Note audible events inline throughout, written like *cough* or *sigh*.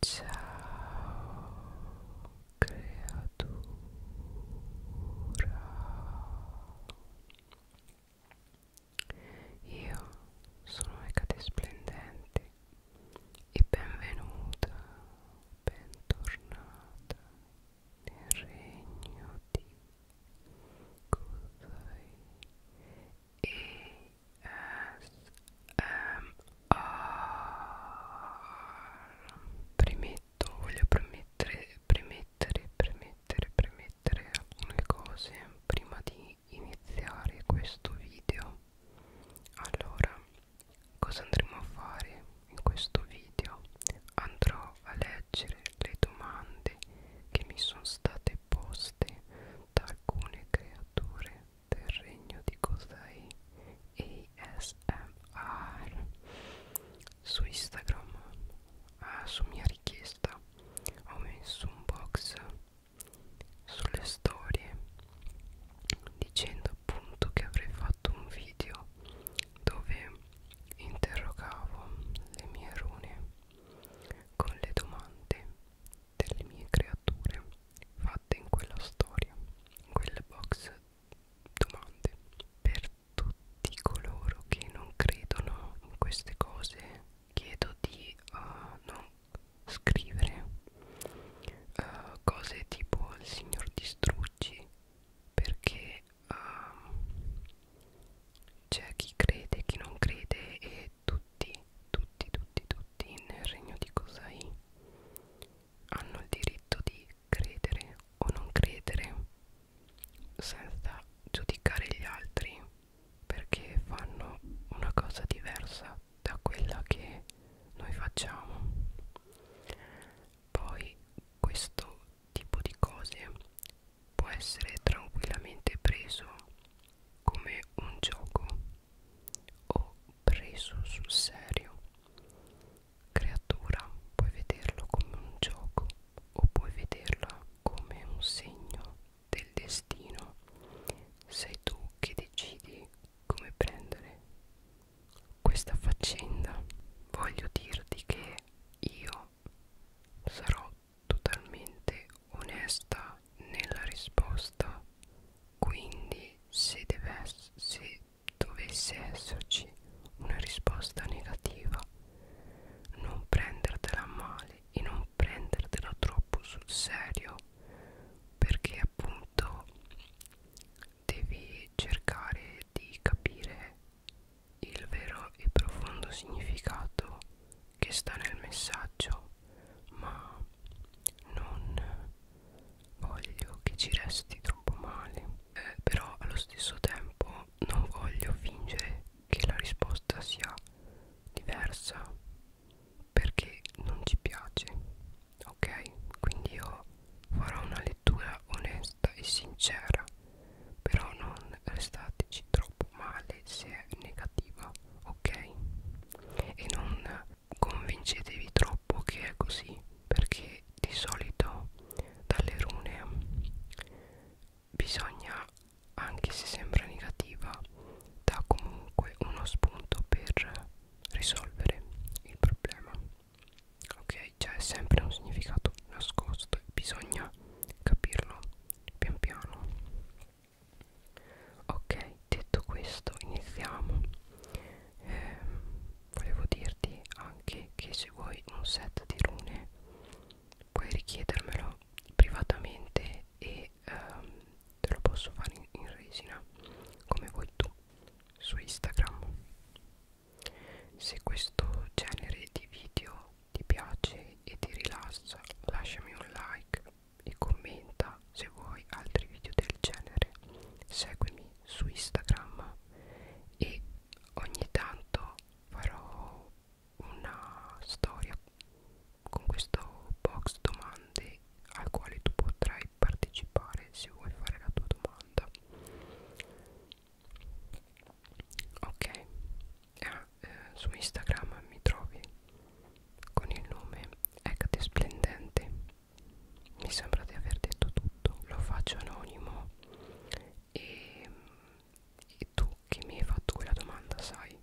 Ciao creatura Io sono Ecate Splendente e benvenuta, bentornata nel regno di Kuzai e premetto voglio premettere premettere premettere premettere alcune cose prima di iniziare questo video allora cosa andremo a fare in questo video andrò a leggere le domande che mi sono state poste da alcune creature del regno di Cos'è ASMR su Instagram eh, su mia richiesta ho messo un box sulle storie dicendo appunto che avrei fatto un video dove interrogavo le mie rune con le domande delle mie creature fatte in quella storia, in quel box domande. Per tutti coloro che non credono in queste cose, chiedo di uh, non scrivere uh, cose tipo il signor distruggi perché uh, c'è chi crede e chi non crede e tutti, tutti, tutti, tutti tutti nel regno di Cosai hanno il diritto di credere o non credere senza giudicare gli altri perché fanno una cosa diversa da quella che noi facciamo poi questo tipo di cose può essere tranquillamente preso come un gioco ho preso sul serio. Creatura, puoi vederlo come un gioco o puoi vederla come un segno del destino. Sei tu che decidi come prendere questa faccenda. Voglio dirti che io sarò totalmente onesta nella risposta quindi se, deve, se dovesse esserci una risposta negativa, non prendertela male e non prendertela troppo sul serio, perché appunto devi cercare di capire il vero e profondo significato che sta nel messaggio, ma non voglio che ci resti troppo male eh, però allo stesso tempo non voglio fingere che la risposta sia diversa perché non ci piace ok quindi io farò una lettura onesta e sincera però non restateci troppo male se è negativa ok e non convincetevi troppo che è così perché di solito dalle rune bisogna anche se sembra negativa dà comunque uno spunto per risolvere il problema ok cioè è sempre un significato nascosto e bisogna capirlo pian piano ok detto questo iniziamo eh, volevo dirti anche che se vuoi un set di rune puoi richiedermelo privatamente e ehm, te lo posso fare in, in resina come vuoi tu su Instagram se questo genere di video ti piace e ti rilassa lasciami un like e commenta se vuoi altri video del genere seguimi su Instagram e ogni tanto farò una storia con questo box domande al quale tu potrai partecipare se vuoi fare la tua domanda ok ah, eh, su Instagram mi trovi con il nome Ecate Splendente mi sembra di aver detto tutto lo faccio anonimo e, e tu che mi hai fatto quella domanda sai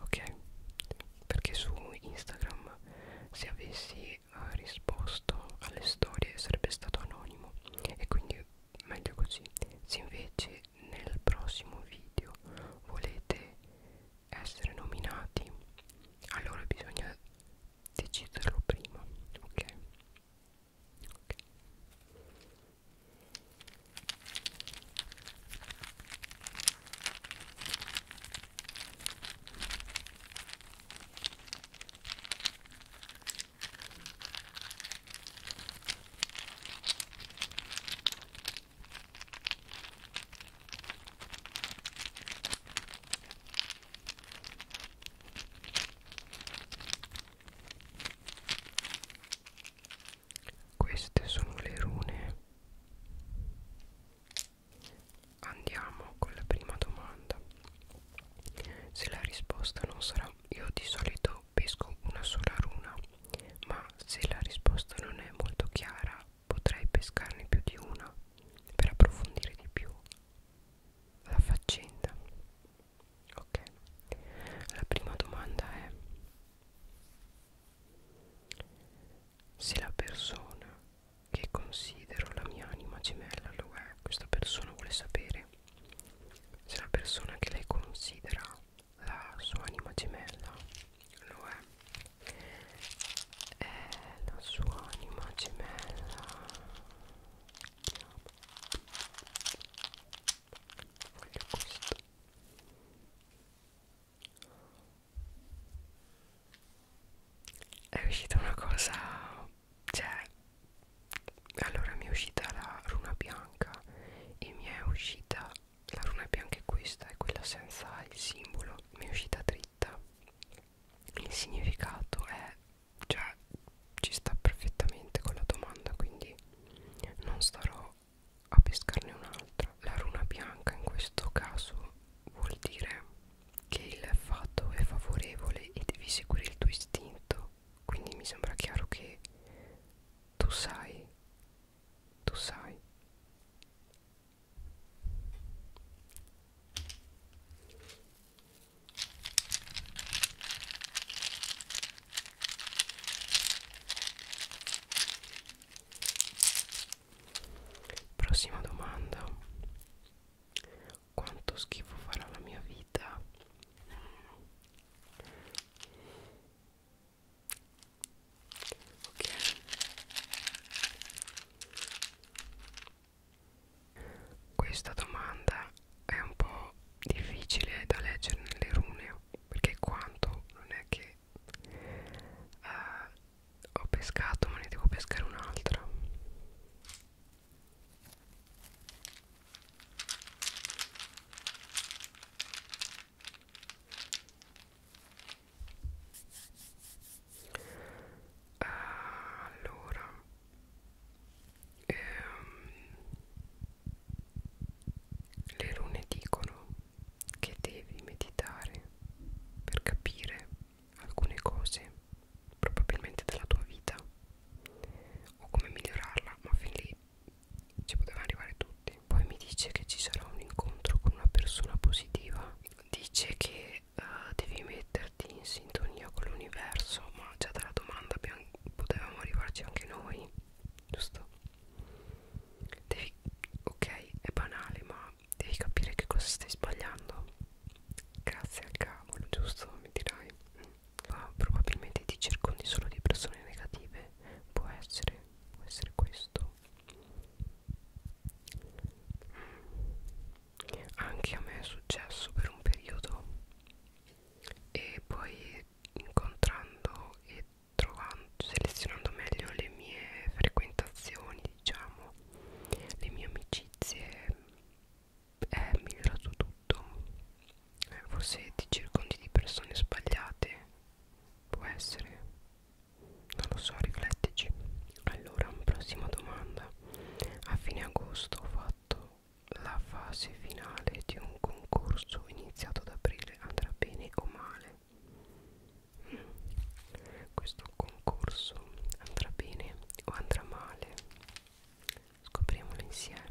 ok perché su Instagram se avessi uh, risposto alle storie sarebbe stato anonimo e quindi meglio così se invece nel prossimo video volete essere nominati allora bisogna deciderlo prima ok, okay. Queste sono le rune. Andiamo con la prima domanda. Se la risposta non sarà io di solito pesco una sola runa, ma se la risposta non è molto chiara potrei pescarne più di una per approfondire di più la faccenda. Ok, la prima domanda è se la persona che considero la mia anima gemella lo è, questa persona vuole sapere se la persona che lei considera la sua anima gemella lo è è eh, la sua anima gemella voglio questo è uscita una cosa cioè allora mi è uscita la runa bianca e mi è uscita la runa bianca è questa è quella senza il simbolo mi è uscita dritta il significato è cioè ci sta perfettamente con la domanda quindi non starò a pescarne un'altra la runa bianca in questo caso vuol dire che il fatto è favorevole e devi seguire il tuo istinto quindi mi sembra chiaro che tu sai tu sai Prossima domanda. Quanto schifo farà la mia vita? Ok. Questa domanda è un po' difficile da leggere nelle rune perché quanto non è che eh, ho pescato ma ne devo pescare un'altra allora ehm, le rune dicono che devi meditare per capire alcune cose probabilmente della tua vita o come migliorarla ma fin lì ci potevano arrivare tutti poi mi dice che ci sarà un incontro con una persona positiva dice che che uh, devi metterti in sintonia con l'universo ma già dalla domanda abbiamo, potevamo arrivarci anche noi giusto? Devi, ok è banale ma devi capire che cosa stai sbagliando grazie al cavolo giusto mi dirai ma mm. ah, probabilmente ti circondi solo di persone negative può essere può essere questo mm anche a me è successo per un periodo e poi incontrando e trovando selezionando meglio le mie frequentazioni diciamo le mie amicizie è migliorato tutto eh, forse ti circondi di persone sbagliate può essere non lo so riflettici allora prossima domanda a fine agosto ho fatto la fase finale di un concorso iniziato ad aprile andrà bene o male mm. questo concorso andrà bene o andrà male scopriamolo insieme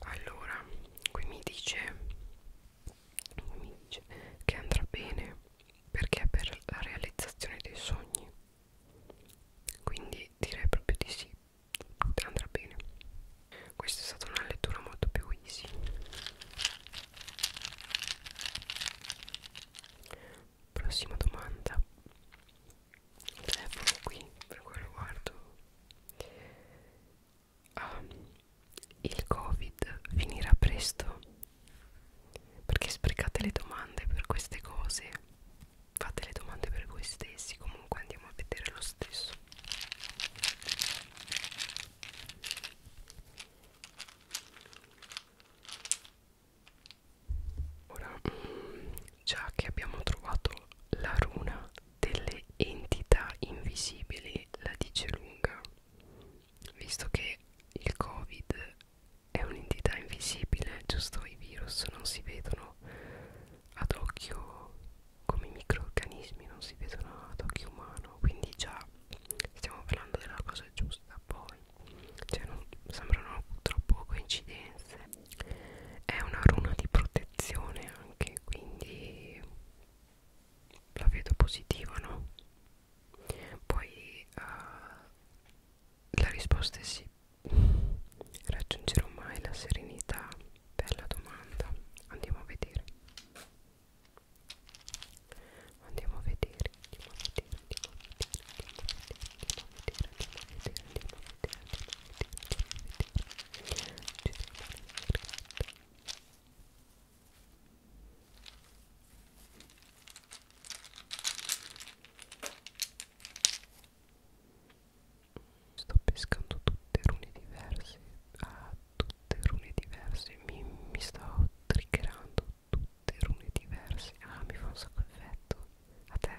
allora qui mi dice, mi dice che andrà bene perché è per la realizzazione dei sogni quindi direi proprio di sì andrà bene questa è stata una lettura molto più easy Prossima domanda. Il telefono qui, per quello guardo. Ah, il Covid finirà presto? Perché sprecate le domande per queste cose? Fate le domande per voi stessi, comunque andiamo a vedere lo stesso ora mm, già che abbiamo trovato la runa delle entità invisibili la dice lunga visto che il covid è un'entità invisibile giusto i virus non si vedono ad occhio come i microorganismi non si vedono ad occhio umano quindi già stiamo parlando della cosa giusta poi cioè non sembrano troppo coincidenze è una runa di protezione anche quindi la vedo positiva no poi uh, la risposta è sì raggiungerò mai la serenità bella domanda andiamo a vedere andiamo a vedere andiamo a vedere, andiamo a vedere, andiamo a vedere, andiamo a vedere, Sto pescando tutte rune diverse, a ah, tutte rune diverse, mi, mi sto triggerando tutte rune diverse ah mi fa un sacco effetto a te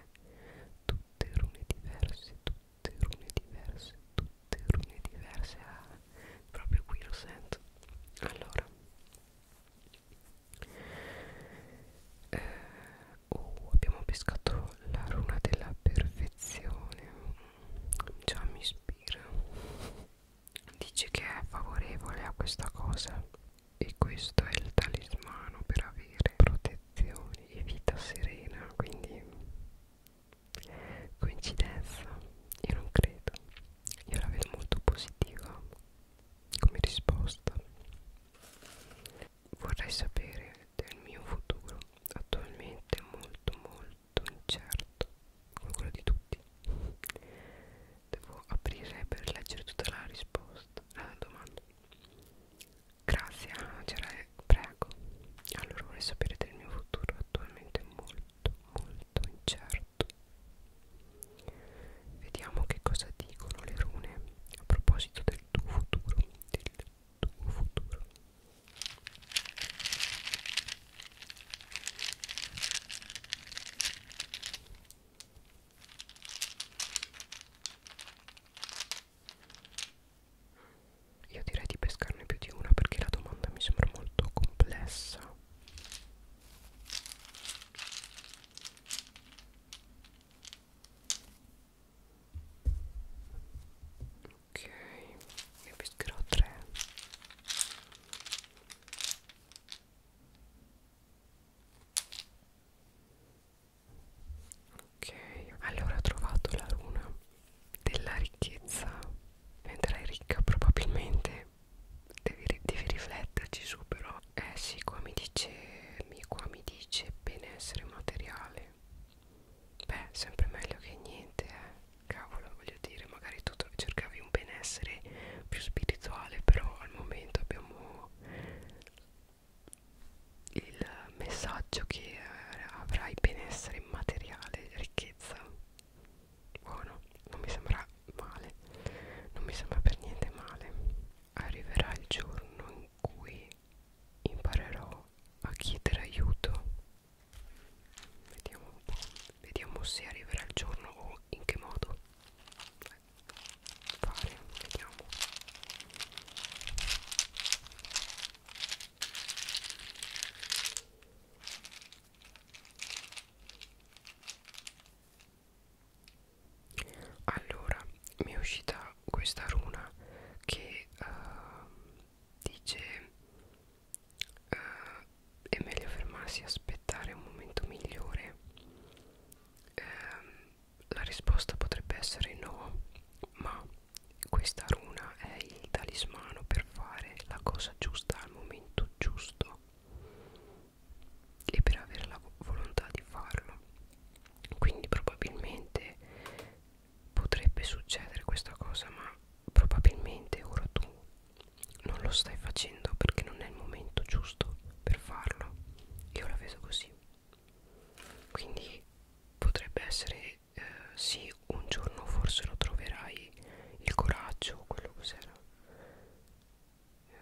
tutte rune diverse tutte rune diverse tutte rune diverse ah, proprio qui lo sento allora eh, oh, abbiamo pescato la runa della perfezione già mi ispira dice che è favorevole a questa cosa e questo è il talismano per avere protezione e vita serena quindi coincidenza io non credo io la vedo molto positiva come risposta vorrei sapere del mio futuro attualmente molto molto incerto come quello di tutti devo aprire per leggere tutta la risposta la ah, domanda grazie Angela prego allora vorrei sapere del mio futuro attualmente molto molto incerto vediamo che cosa dicono le rune a proposito del tuo futuro del tuo futuro io direi di pescarne più di una perché la domanda mi sembra molto complessa. Ok, ne pescherò tre. Ok, allora ho trovato la runa della ricchezza. Diventerai ricca probabilmente. Devi, devi rifletterci su però. Eh sì, qua mi dice, qua mi dice benessere materiale. Beh, sempre meglio che niente, eh. Cavolo, voglio dire, magari tu cercavi un benessere più spirituale, però al momento abbiamo il messaggio che eh, avrai benessere immateriale, ricchezza. Buono, non mi sembra male, non mi sembra per niente male. Arriverà il giorno in cui imparerò a chiedere aiuto. Vediamo un po', vediamo se arriverà il giorno o in che modo. Beh, fare vediamo allora mi è uscita questa runa che uh, dice uh, è meglio fermarsi e aspettare un momento migliore um, la risposta potrebbe essere no, ma questa runa è il talismano per fare la cosa giusta al momento giusto e per avere la volontà di farlo. Quindi probabilmente potrebbe succedere questa cosa, ma probabilmente ora tu non lo stai facendo perché non è il momento giusto per farlo. Io la vedo così quindi potrebbe essere eh, sì un giorno forse lo troverai il coraggio o quello cos'era eh,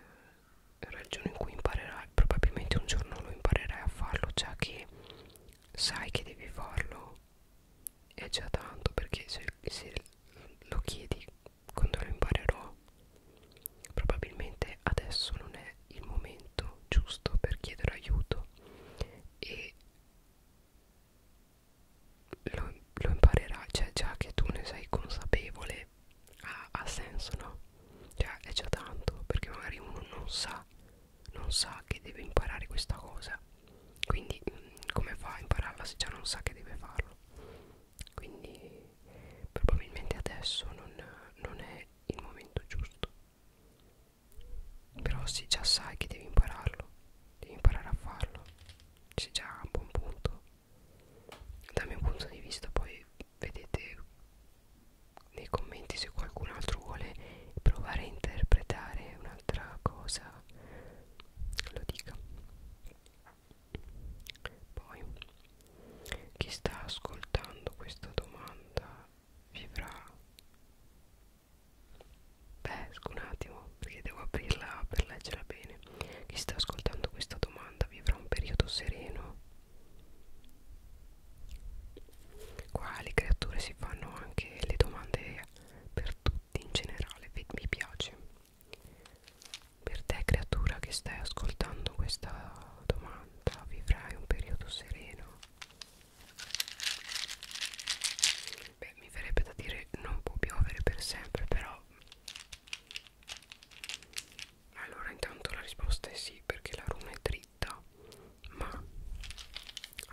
era il giorno in cui imparerai probabilmente un giorno lo imparerai a farlo già che sai che devi farlo è già tanto perché se, se lo chiedi quando lo imparerò probabilmente adesso non è il momento giusto per chiedere aiuto e lo, lo imparerai, cioè già che tu ne sei consapevole ha, ha senso no? Cioè è già tanto perché magari uno non sa, non sa che deve imparare questa cosa quindi mm, come fa a impararla se già non sa che deve farlo quindi probabilmente adesso non, non è il momento giusto però se già sai che devi impararlo devi imparare a farlo c'è già un buon punto dal mio punto di vista poi vedete nei commenti se qualcun altro vuole provare a interpretare un'altra cosa lo dica poi chi sta ascoltando questa domanda vivrà beh un attimo perché devo aprirla per leggerla bene chi sta ascoltando questa domanda vivrà un periodo sereno qua le creature si fanno anche le domande per tutti in generale mi piace per te creatura che stai ascoltando questa domanda vivrai un periodo sereno? Beh mi verrebbe da dire non può piovere per sempre però Allora intanto la risposta è sì perché la runa è dritta ma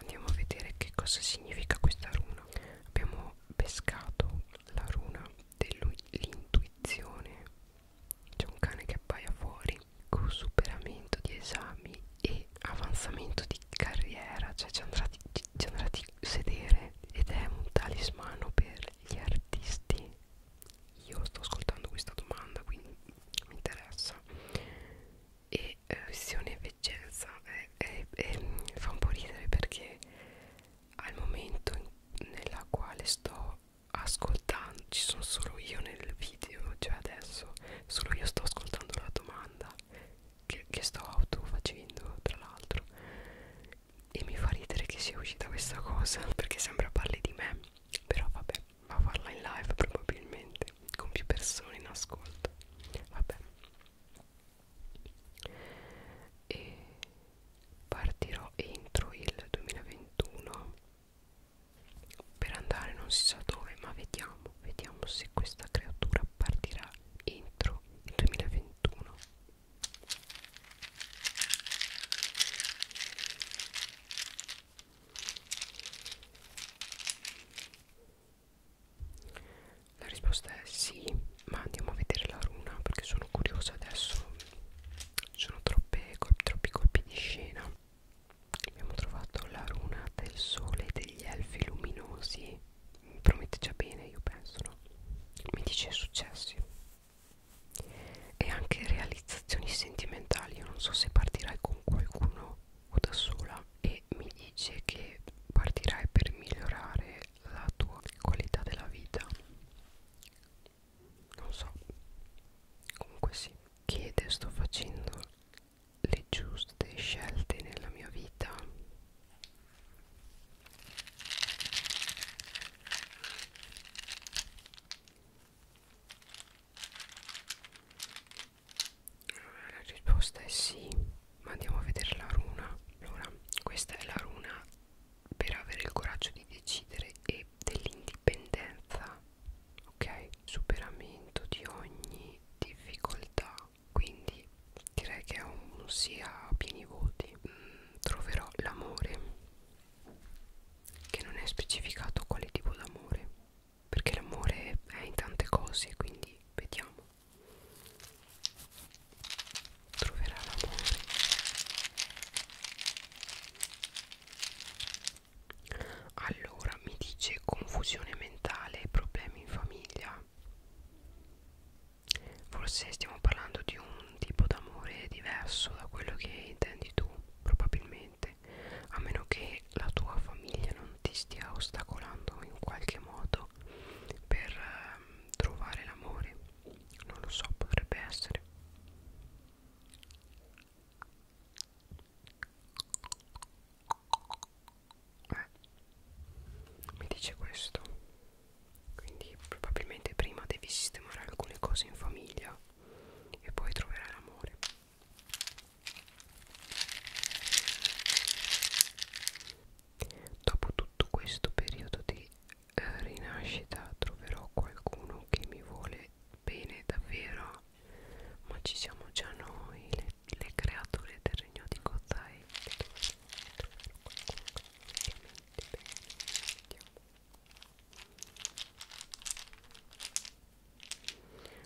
andiamo a vedere che cosa significa questa runa Abbiamo pescato la runa dell'intuizione c'è un cane che appaia fuori con superamento di esami e avanzamento di carriera, cioè ci andrà di, ci andrà di sedere ed è un talismano per gli artisti. Io sto ascoltando questa domanda, quindi mi interessa. E eh, visione veggenza eh, eh, eh, fa un po' ridere perché al momento in, nella quale sto ascoltando ci sono solo io nel video cioè adesso solo io sto ascoltando la domanda che, che sto auto facendo tra l'altro e mi fa ridere che sia uscita questa cosa *laughs* perché sembra parli di me però vabbè va a farla in live probabilmente con più persone in ascolto vabbè e partirò entro il 2021 per andare non si sa dove ma vediamo vediamo se questa creatura partirà entro il 2021 la risposta è sì ma andiamo a vedere la runa perché sono curiosa adesso ci sono troppe, troppi colpi di scena abbiamo trovato la runa del sole e degli elfi luminosi mi promette già bene io penso no? mi dice successi e anche realizzazioni sentimentali io non so se partirai con qualcuno o da sola e mi dice che partirai per migliorare la tua qualità della vita non so comunque sì chiede sto facendo le giuste scelte nella mia vita la risposta è sì, ma andiamo a vedere la runa. Allora, questa è la runa per avere il coraggio di decidere e dell'indipendenza, ok? Superamento di ogni difficoltà. Quindi direi che è un sia a pieni voti. Mm, troverò l'amore. Che non è specificato quale tipo d'amore. Perché l'amore è in tante cose, quindi vediamo. Troverà l'amore. Allora mi dice confusione mentale e problemi in famiglia. Forse stiamo parlando di un tipo d'amore diverso da quello che intendi tu, probabilmente, a meno che la tua famiglia non ti stia ostacolando in qualche modo per eh, trovare l'amore. Non lo so, potrebbe essere eh, mi dice questo quindi probabilmente prima devi sistemare alcune cose in famiglia e poi troverai l'amore dopo tutto questo periodo di eh, rinascita troverò qualcuno che mi vuole bene davvero ma ci siamo già noi le, le creature del regno di Kotai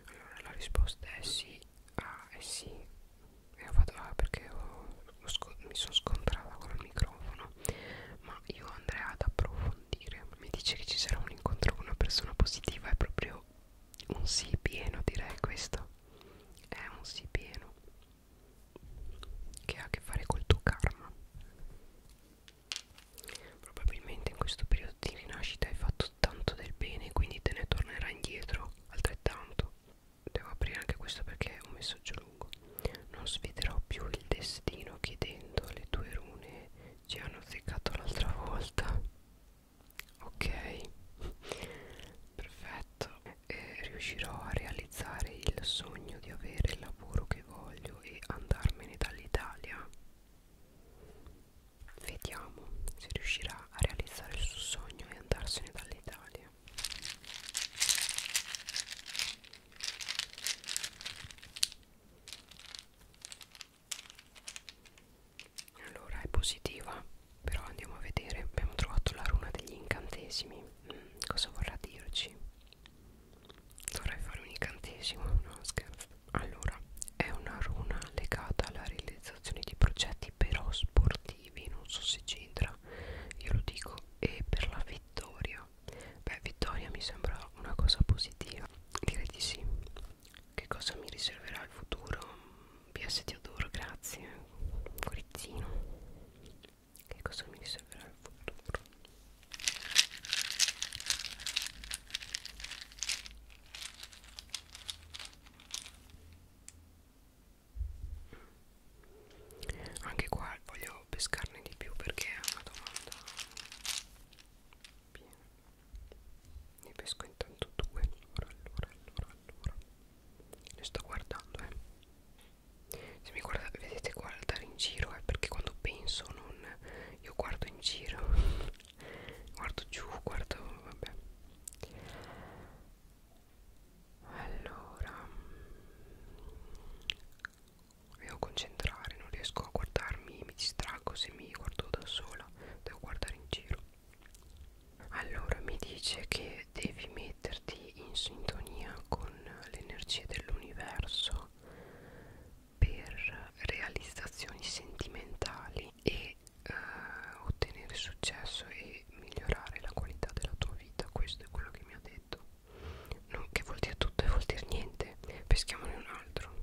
allora la risposta è sì ah è sì e ho fatto ah, perché ho, ho mi sono scontrata con il microfono ma io andrei ad approfondire approfondire. Mi dice che ci sarà un incontro con una persona positiva, è proprio un sì pieno, direi questo. È un sì pieno che ha a che fare col tuo karma. Probabilmente in questo periodo di rinascita hai fatto tanto del bene, quindi te ne tornerà indietro altrettanto. Devo aprire anche questo perché è un messaggio lungo. Non sfiderò più il destino chiedendo alle tue rune ci ho nozzicato l'altra volta ok *laughs* perfetto e riuscirò a realizzare il sogno di avere il lavoro che voglio e andarmene dall'Italia vediamo se riuscirà a realizzare il suo sogno e andarsene dall'Italia allora è positiva però andiamo a vedere abbiamo trovato la runa degli incantesimi mm, cosa vorrà dirci dovrei fare un incantesimo no scherzo allora è una runa legata alla realizzazione di progetti però sportivi non so se c'entra io lo dico e per la vittoria vittoria beh vittoria mi sembra una cosa positiva direi di sì che cosa mi riserverà il futuro PS ti adoro grazie Corizzino che cosa mi riserverà il futuro anche qua voglio pescarne di più perché è una domanda Bene. Ne pesco intanto due. Allora, allora, allora, allora. Ne sto guardando, eh. Se mi guarda, vedete guardare in giro, eh, perché quando penso non... Io guardo in giro. *laughs* guardo giù, guardo... Vabbè. Allora mi devo concentrare, non riesco a guardarmi, mi distraggo se mi guardo da sola, devo guardare in giro. Allora mi dice che devi metterti in sintonia con l'energia dell'universo per realizzazioni sentimentali e eh, ottenere successo e migliorare la qualità della tua vita. Questo è quello che mi ha detto non, che vuol dire tutto e vuol dire niente peschiamone un altro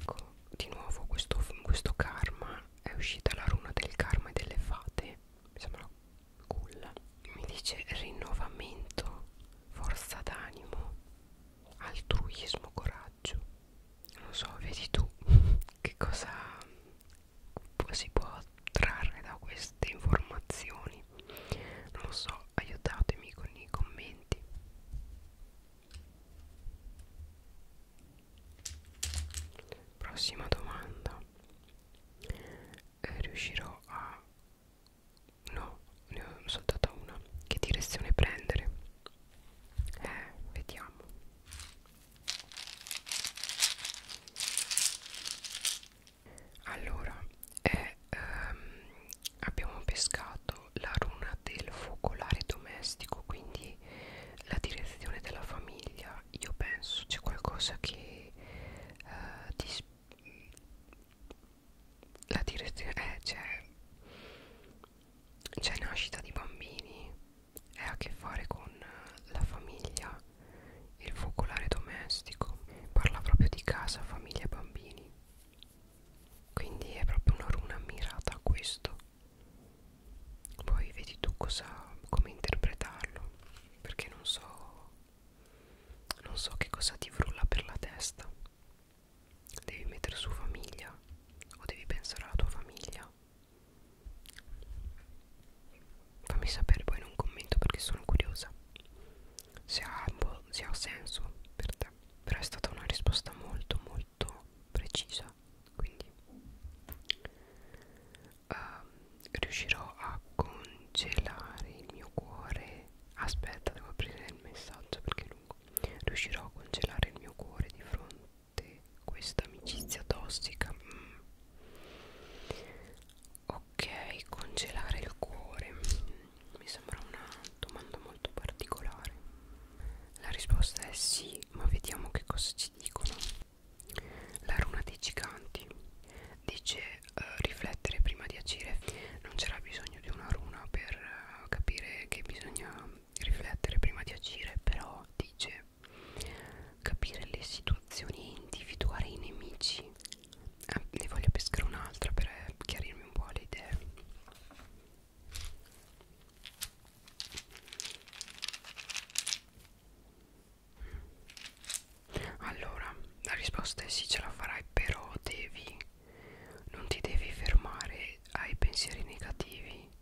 ecco di nuovo questo, questo karma è uscita la runa del karma e delle fate mi sembra cool mi dice rinnovamento forza d'animo altruismo coraggio non so vedi tu *laughs* che cosa si può trarre da queste informazioni non lo so aiutatemi con i commenti prossima domanda eh, riuscirò a no ne ho soltanto una che direzione prendere eh vediamo allora, è, ehm, abbiamo pescato la runa del focolare domestico, quindi la direzione della famiglia. Io penso c'è qualcosa che eh, ti la direzione eh, c'è nascita di bambini è a che fare con la famiglia, il focolare domestico, parla proprio di casa, famiglia e bambini. Quindi è proprio una runa mirata a questo. Poi vedi tu cosa, come interpretarlo, perché non so, non so che cosa ti frulla per la testa. Devi mettere su famiglia o devi pensare alla tua famiglia Fammi sapere poi in un commento perché sono curiosa se ha, boh, se ha senso per te. Però è stata una risposta molto molto precisa. Quindi uh, riuscirò a congelare il mio cuore. Aspetta, devo aprire il messaggio perché è lungo. Riuscirò a congelare il mio cuore di fronte forte questa amicizia tossica mm. ok congelare il cuore mm, mi sembra una domanda molto particolare la risposta è sì ma vediamo che cosa ci dicono la runa dei giganti dice uh, riflettere prima di agire non c'era bisogno di una runa per uh, capire che bisogna riflettere prima di agire però dice capire le situazioni e individuare i nemici eh, ne voglio pescare un'altra per eh, chiarirmi un po' le idee allora la risposta è sì ce la farai però devi non ti devi fermare ai pensieri negativi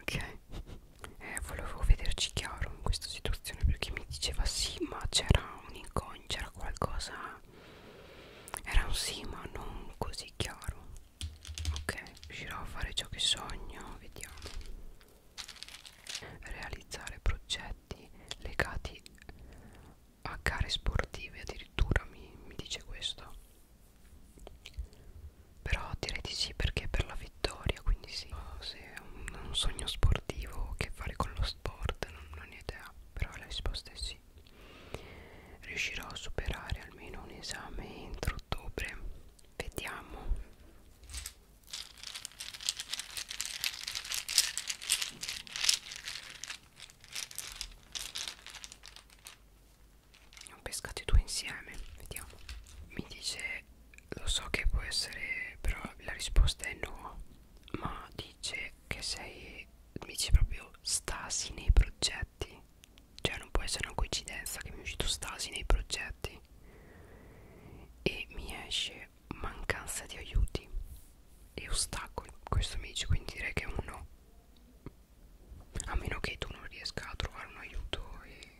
ok eh, volevo vederci chiaro in questa situazione perché mi diceva sì ma c'era un incogno c'era qualcosa era un sì ma non così chiaro ok riuscirò a fare ciò che sogno vediamo realizzare progetti legati a gare sportive addirittura mi, mi dice questo però direi di sì perché per la vittoria, quindi sì. Se è un, un sogno sportivo che fare con lo sport, non, non ho idea, però la risposta è sì. Riuscirò a superare almeno un esame entro ottobre. Vediamo ne ho pescati due insieme vediamo mi dice lo so che può essere però la risposta è no ma dice che sei mi dice proprio stasi nei progetti cioè non può essere una coincidenza che mi è uscito stasi nei progetti e mi esce mancanza di aiuti e ostacoli questo mi dice quindi direi che è un no a meno che tu non riesca a trovare un aiuto e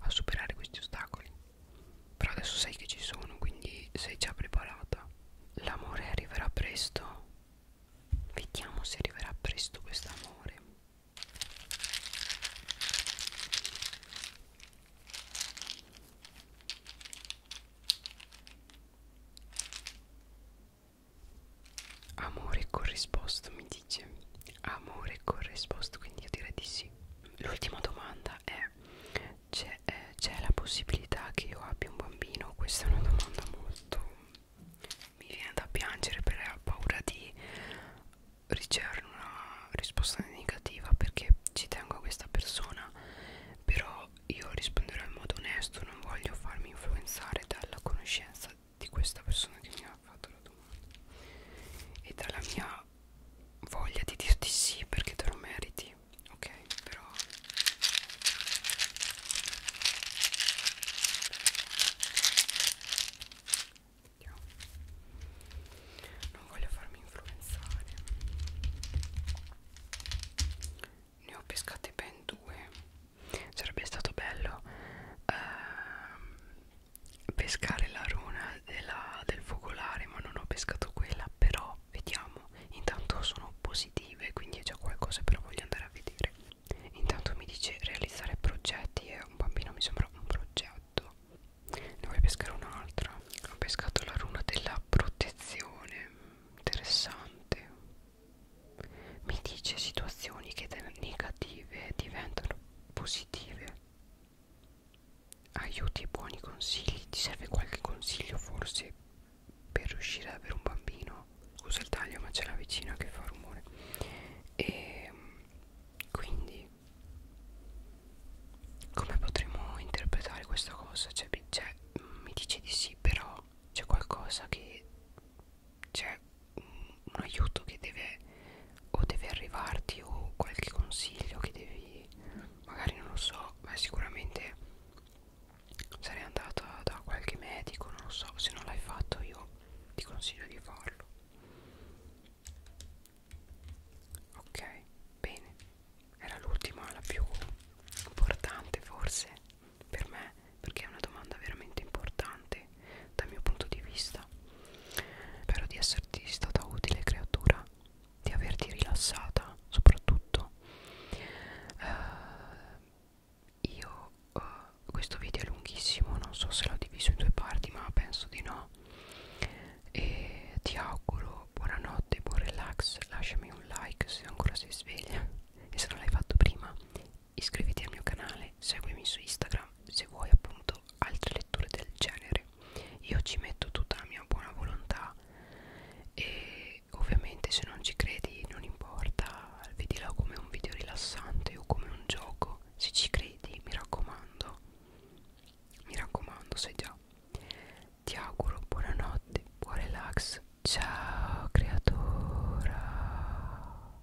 a superare questi ostacoli però adesso sai che ci sono quindi sei già preparata l'amore arriverà presto vediamo se arriverà presto quest'amore Amore corrisposto mi dice Amore corrisposto quindi io direi di sì L'ultima domanda è C'è eh, la possibilità che io abbia un bambino? Questa è una domanda molto Mi viene da piangere perché ho paura di ricevere una risposta negativa Perché ci tengo a questa persona Però io risponderò in modo onesto Non voglio farmi influenzare dalla conoscenza di questa persona che mi ha fatto la domanda e dalla mia voglia di dirti sì perché te lo meriti ok però Andiamo. non voglio farmi influenzare ne ho pescate ben due sarebbe stato bello ehm, pescare la runa della, del focolare ma non ho pescato quella però vediamo intanto sono positive quindi è già qualcosa però voglio andare a vedere intanto mi dice realizzare progetti e un bambino mi sembra un progetto ne vuoi pescare un'altra ho pescato la runa della protezione interessante mi dice situazioni che da negative diventano positive. Aiuti e buoni consigli. Ti serve qualche consiglio forse per riuscire ad avere un bambino? Scusa il taglio ma c'è la vicina che fa rumore. E ehm, quindi come potremmo interpretare questa cosa? Cioè, cioè mi dice di sì, però c'è qualcosa che c'è un, un aiuto che deve o deve arrivarti o qualche consiglio che devi magari non lo so ma sicuramente sarei andata da qualche medico non lo so se non l'hai fatto io ti consiglio di farlo ok bene era l'ultima la più importante forse per me perché è una domanda veramente importante dal mio punto di vista. Spero di esserti stata utile creatura, di averti rilassata soprattutto. Uh, io uh, questo video è lunghissimo, non so se l'ho diviso in due parti, ma penso di no. E ti auguro buonanotte, buon relax, lasciami un like se ancora sei sveglia e se non l'hai fatto prima iscriviti al mio canale, seguimi su Instagram se vuoi appunto altre letture del genere. Io ci metto tutta la mia buona volontà e ovviamente se non ci credi non importa, vedila come un video rilassante o come un gioco, se ci credi mi raccomando, mi raccomando sai già. Ti auguro buonanotte, buon relax, ciao creatura.